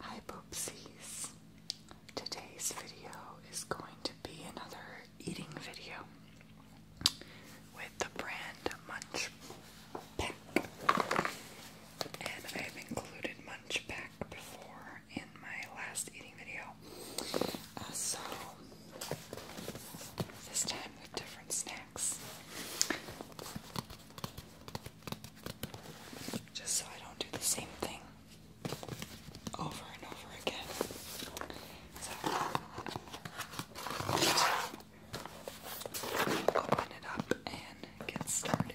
Hi Poopsies! Today's video is going to be another eating video with the brand Munch Pack. And I have included Munch Pack before in my last eating video. Uh, so, this time with different snacks. Just so I don't do the same thing over and over again. So, open it up and get started.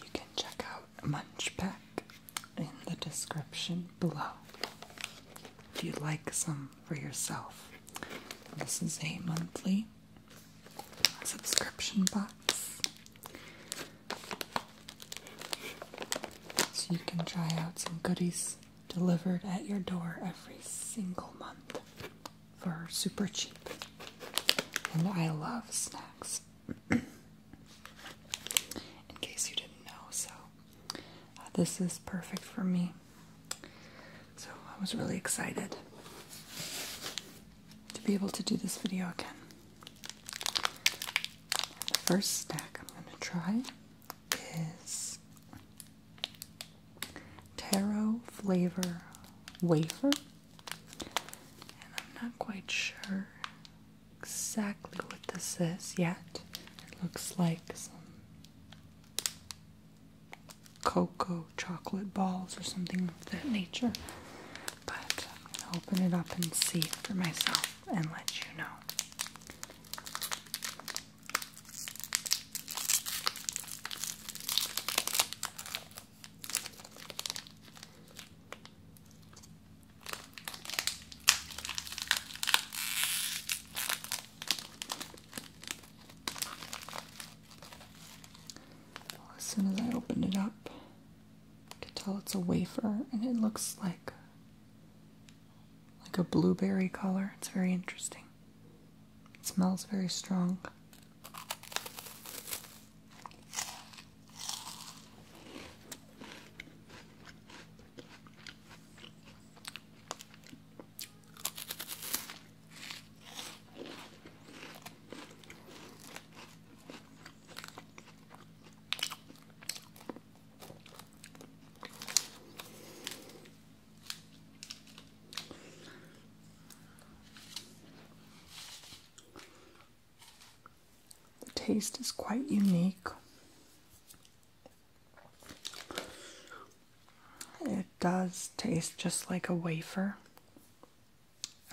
You can check out Munchpack in the description below if you'd like some for yourself. This is a monthly subscription box. So you can try out some goodies delivered at your door every single month for super cheap. And I love snacks. In case you didn't know, so this is perfect for me. So I was really excited to be able to do this video again. The first stack I'm going to try is taro flavor wafer. And I'm not quite sure exactly what this is yet. It looks like some cocoa chocolate balls or something of that nature. But I'm going to open it up and see for myself and let you know as soon as I opened it up, I could tell it's a wafer, and it looks like like a blueberry color. It's very interesting. It smells very strong. The taste is quite unique. It does taste just like a wafer.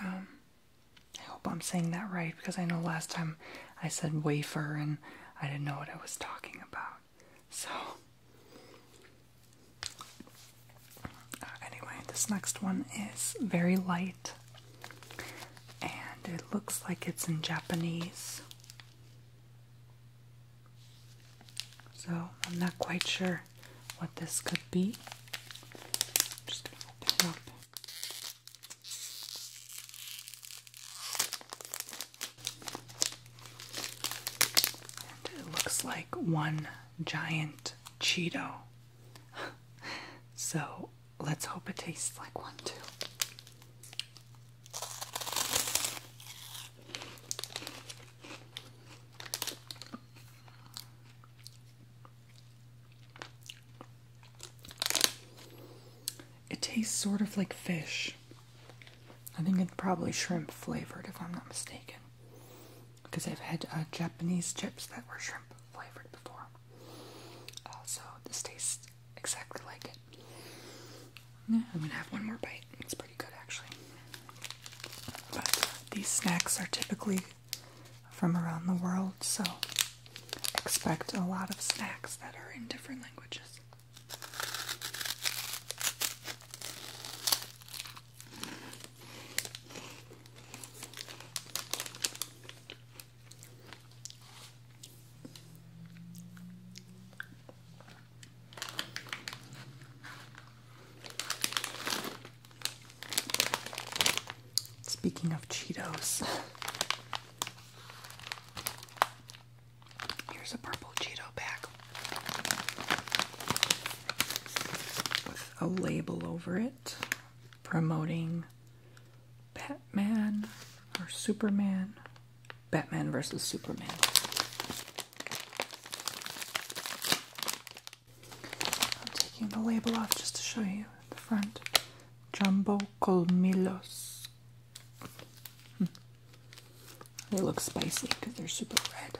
Um, I hope I'm saying that right because I know last time I said wafer and I didn't know what I was talking about. So, uh, anyway, this next one is very light and it looks like it's in Japanese. So I'm not quite sure what this could be. just open it up. it looks like one giant Cheeto. so let's hope it tastes like one too. It tastes sort of like fish. I think it's probably shrimp flavored, if I'm not mistaken. Because I've had uh, Japanese chips that were shrimp flavored before. Uh, this tastes exactly like it. I'm gonna have one more bite. It's pretty good actually. But uh, these snacks are typically from around the world, so expect a lot of snacks that are in different languages. Speaking of Cheetos, here's a purple Cheeto bag with a label over it promoting Batman or Superman Batman versus Superman. I'm taking the label off just to show you the front. Jumbo Colmillos. Hmm. They look spicy because they're super red.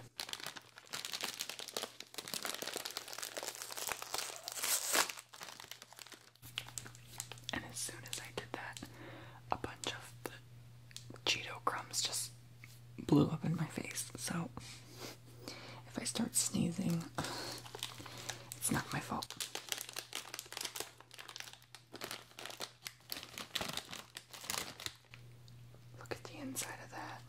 And as soon as I did that, a bunch of Cheeto crumbs just blew up in my face. So if I start sneezing, it's not my fault. Look at the inside of that.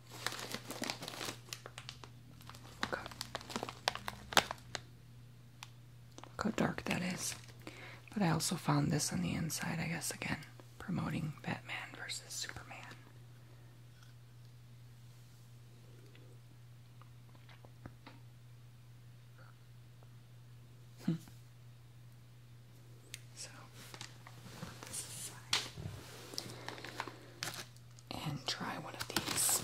Okay how dark that is. But I also found this on the inside, I guess, again, promoting Batman versus Superman. Hmm. So, And try one of these.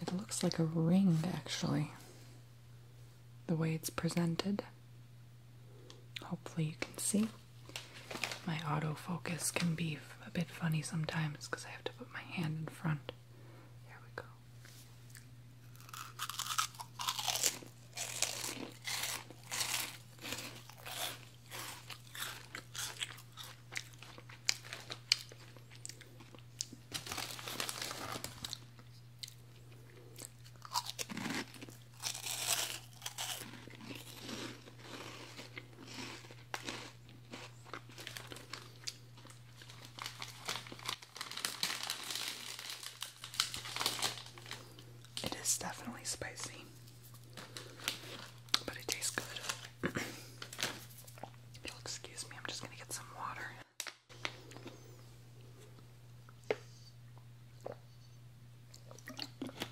It looks like a ring, actually, the way it's presented. Hopefully, you can see. My autofocus can be a bit funny sometimes because I have to put my hand in front. There we go. It is definitely spicy, but it tastes good. You'll excuse me, I'm just gonna get some water.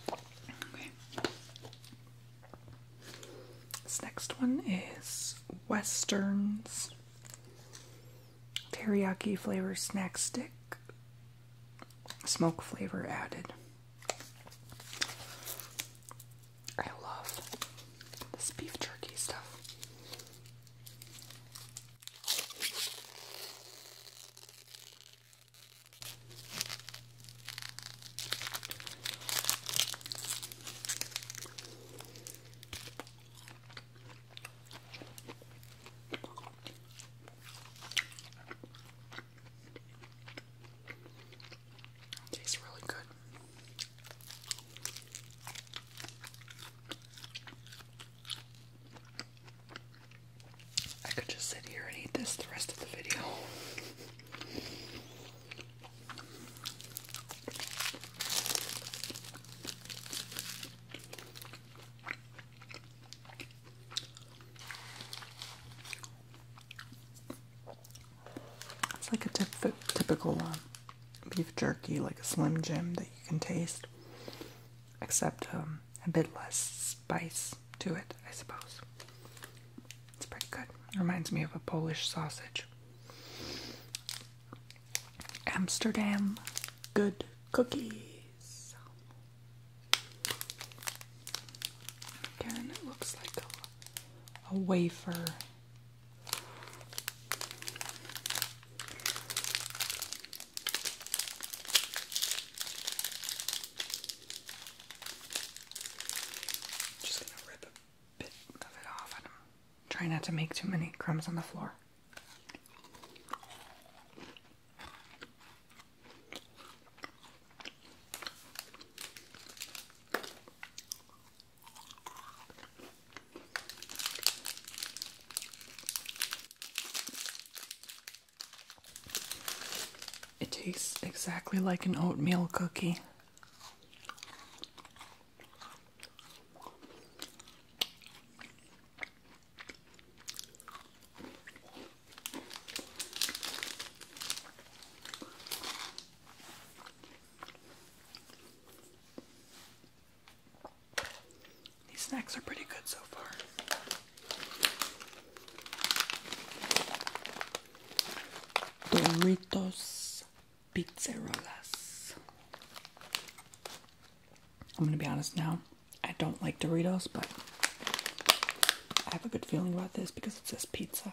Okay. This next one is Western's teriyaki flavor snack stick, smoke flavor added. I love this beef jerky stuff. It tastes really good. I could just sit here and eat this the rest of the video. It's like a typical uh, beef jerky, like a Slim Jim that you can taste, except um, a bit less spice to it, I suppose. It's pretty good. It reminds me of a Polish sausage. Amsterdam good cookies. Again, it looks like a wafer just gonna rip a bit of it off and trying not to make too many crumbs on the floor. It tastes exactly like an oatmeal cookie. These snacks are pretty good so far. Doritos Pizzerolas. I'm gonna be honest now, I don't like Doritos, but I have a good feeling about this because it says pizza.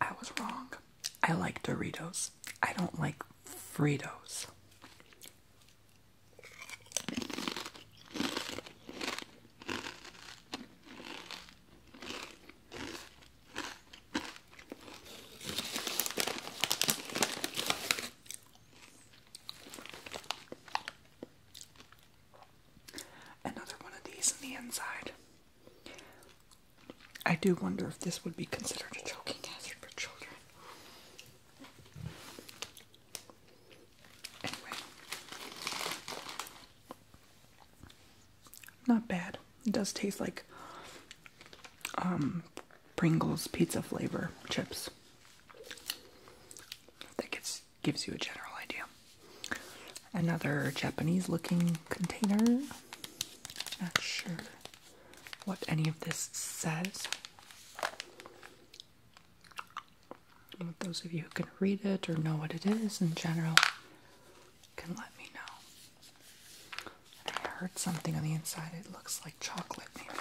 I was wrong. I like Doritos. I don't like Fritos. Another one of these on the inside. I do wonder if this would be considered a choking hazard for children. Anyway, not bad. It does taste like um Pringles pizza flavor chips. That gets, gives you a general idea. Another Japanese looking container. Not sure what any of this says. But those of you who can read it or know what it is in general can let me know. I heard something on the inside. It looks like chocolate, maybe.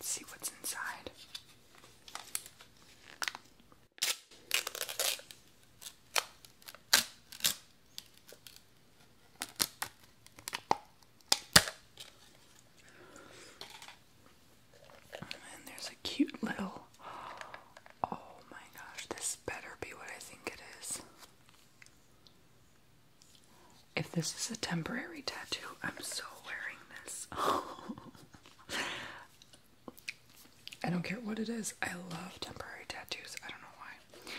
see what's inside. And there's a cute little. Oh my gosh, this better be what I think it is. If this is a temporary tattoo, I'm so wearing this. I don't care what it is. I love temporary tattoos. I don't know why.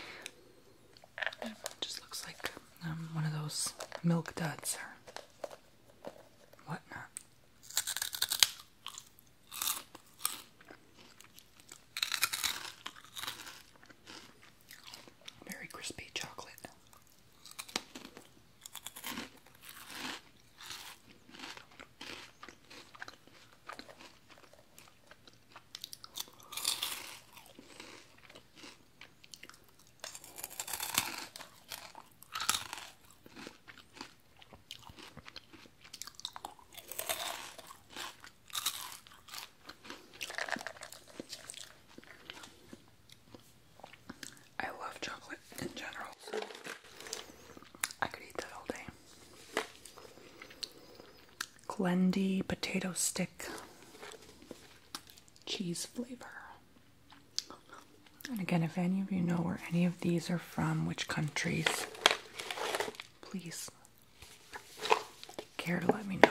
It just looks like um, one of those milk duds or whatnot. Very crispy chocolate. I love chocolate in general. I could eat that all day. Glendy potato stick cheese flavor. And again, if any of you know where any of these are from, which countries, please care to let me know.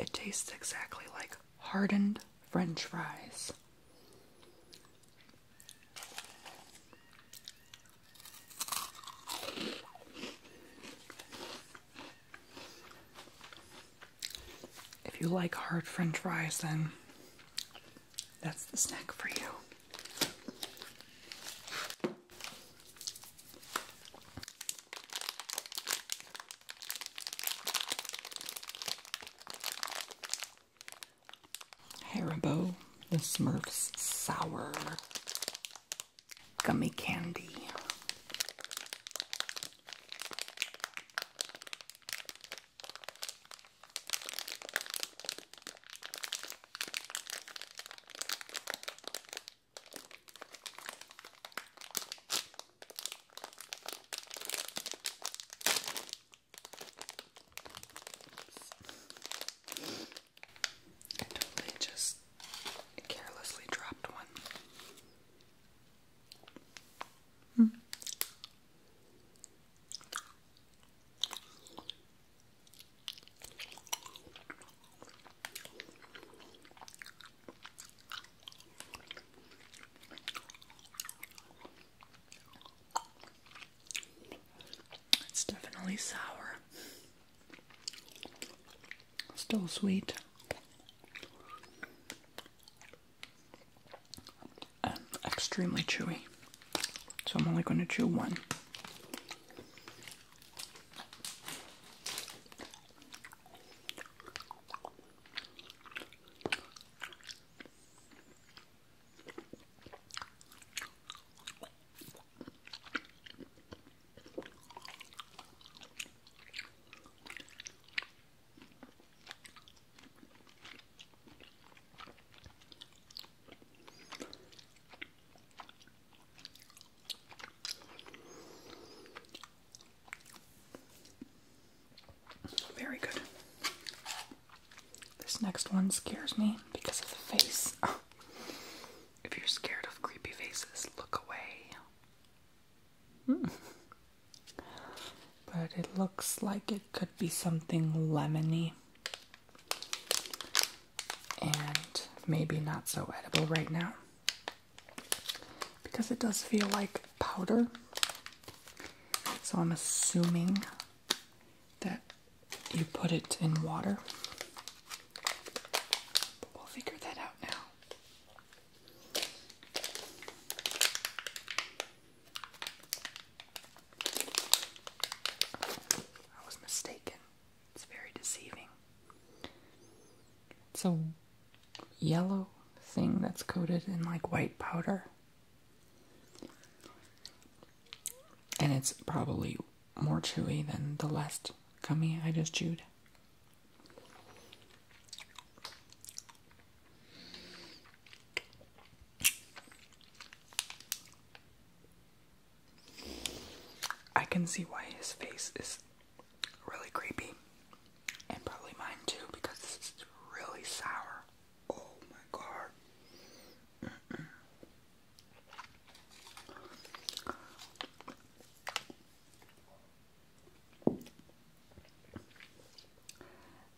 It tastes exactly like hardened french fries. If you like hard french fries, then that's the snack for you. Haribo, the Smurfs Sour Gummy Candy. I totally just carelessly dropped one. Hmm. It's definitely sour. Still sweet extremely chewy. So I'm only going to chew one. Very good. This next one scares me because of the face. if you're scared of creepy faces, look away. Hmm. but it looks like it could be something lemony and maybe not so edible right now because it does feel like powder. So I'm assuming that you put it in water. But we'll figure that out now. I was mistaken. It's very deceiving. It's a yellow thing that's coated in like white powder. And it's probably more chewy than the last gummy I just chewed. I can see why his face is really creepy, and probably mine too, because it's really sour. Oh my god.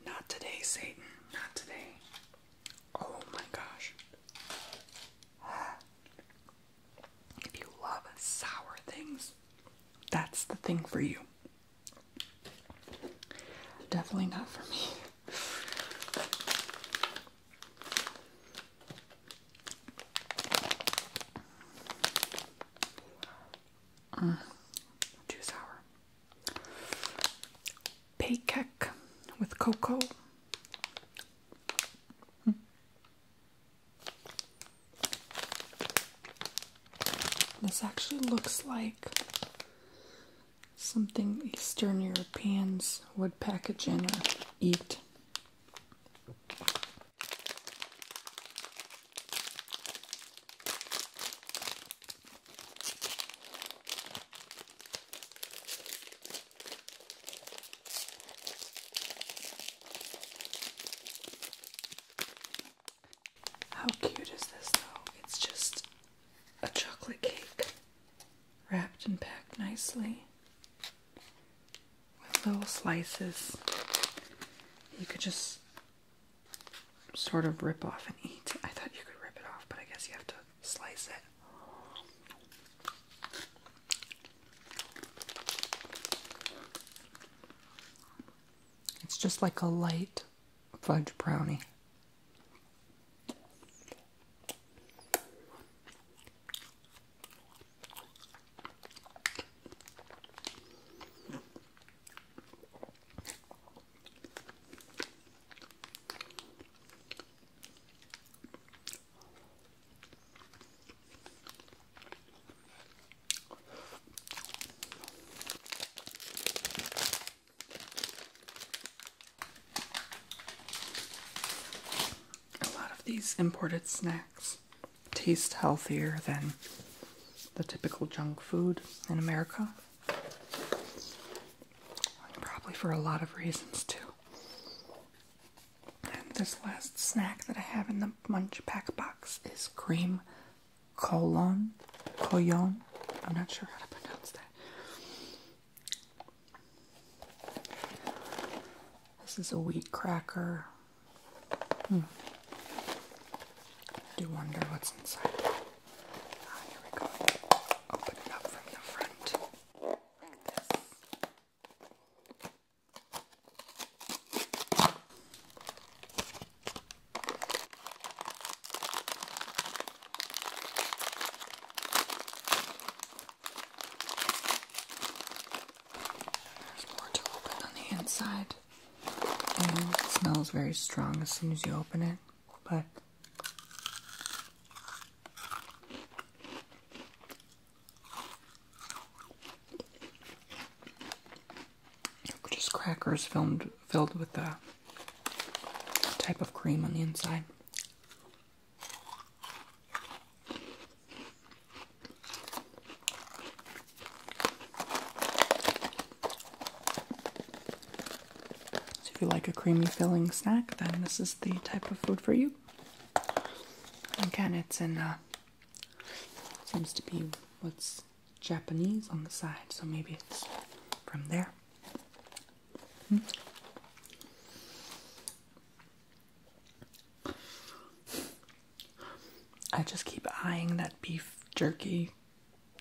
Not today, Satan. Not today. Oh my gosh. If you love sour things, that's the thing for you. Definitely not for me. Mm, too sour. Paycake with cocoa. Hmm. This actually looks like something Eastern Europeans would package in or eat. How cute is this, though? It's just a chocolate cake wrapped and packed nicely with little slices. You could just sort of rip off and eat. I thought you could rip it off, but I guess you have to slice it. It's just like a light fudge brownie. A lot of these imported snacks taste healthier than the typical junk food in America. Probably for a lot of reasons, too. And this last snack that I have in the munch pack box is cream colon. Colon. I'm not sure how to pronounce that. This is a wheat cracker. Hmm. do wonder what's inside. Ah, here we go. Open it up from the front. Like this. There's more to open on the inside. smells very strong as soon as you open it just crackers filmed filled with a type of cream on the inside. So, if you like a creamy filling snack, then this is the type of food for you. Again, it's in uh, seems to be what's Japanese on the side, so maybe it's from there. Hmm. I just keep eyeing that beef jerky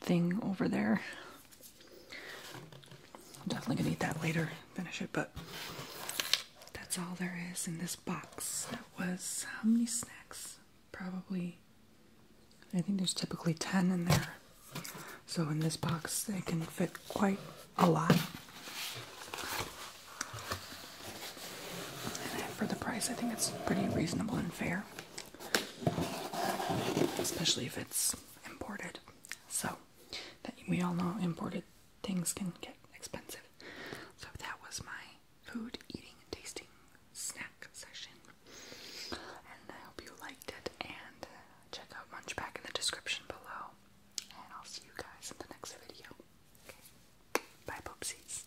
thing over there. definitely gonna eat that later, finish it, but that's all there is in this box. That was how many snacks? Probably, I think there's typically 10 in there. So in this box, they can fit quite a lot. And for the price, I think it's pretty reasonable and fair especially if it's imported. So, that, we all know imported things can get expensive. So, that was my food eating and tasting snack session. And I hope you liked it. And uh, check out Munchback in the description below. And I'll see you guys in the next video. Bye, Poopsies.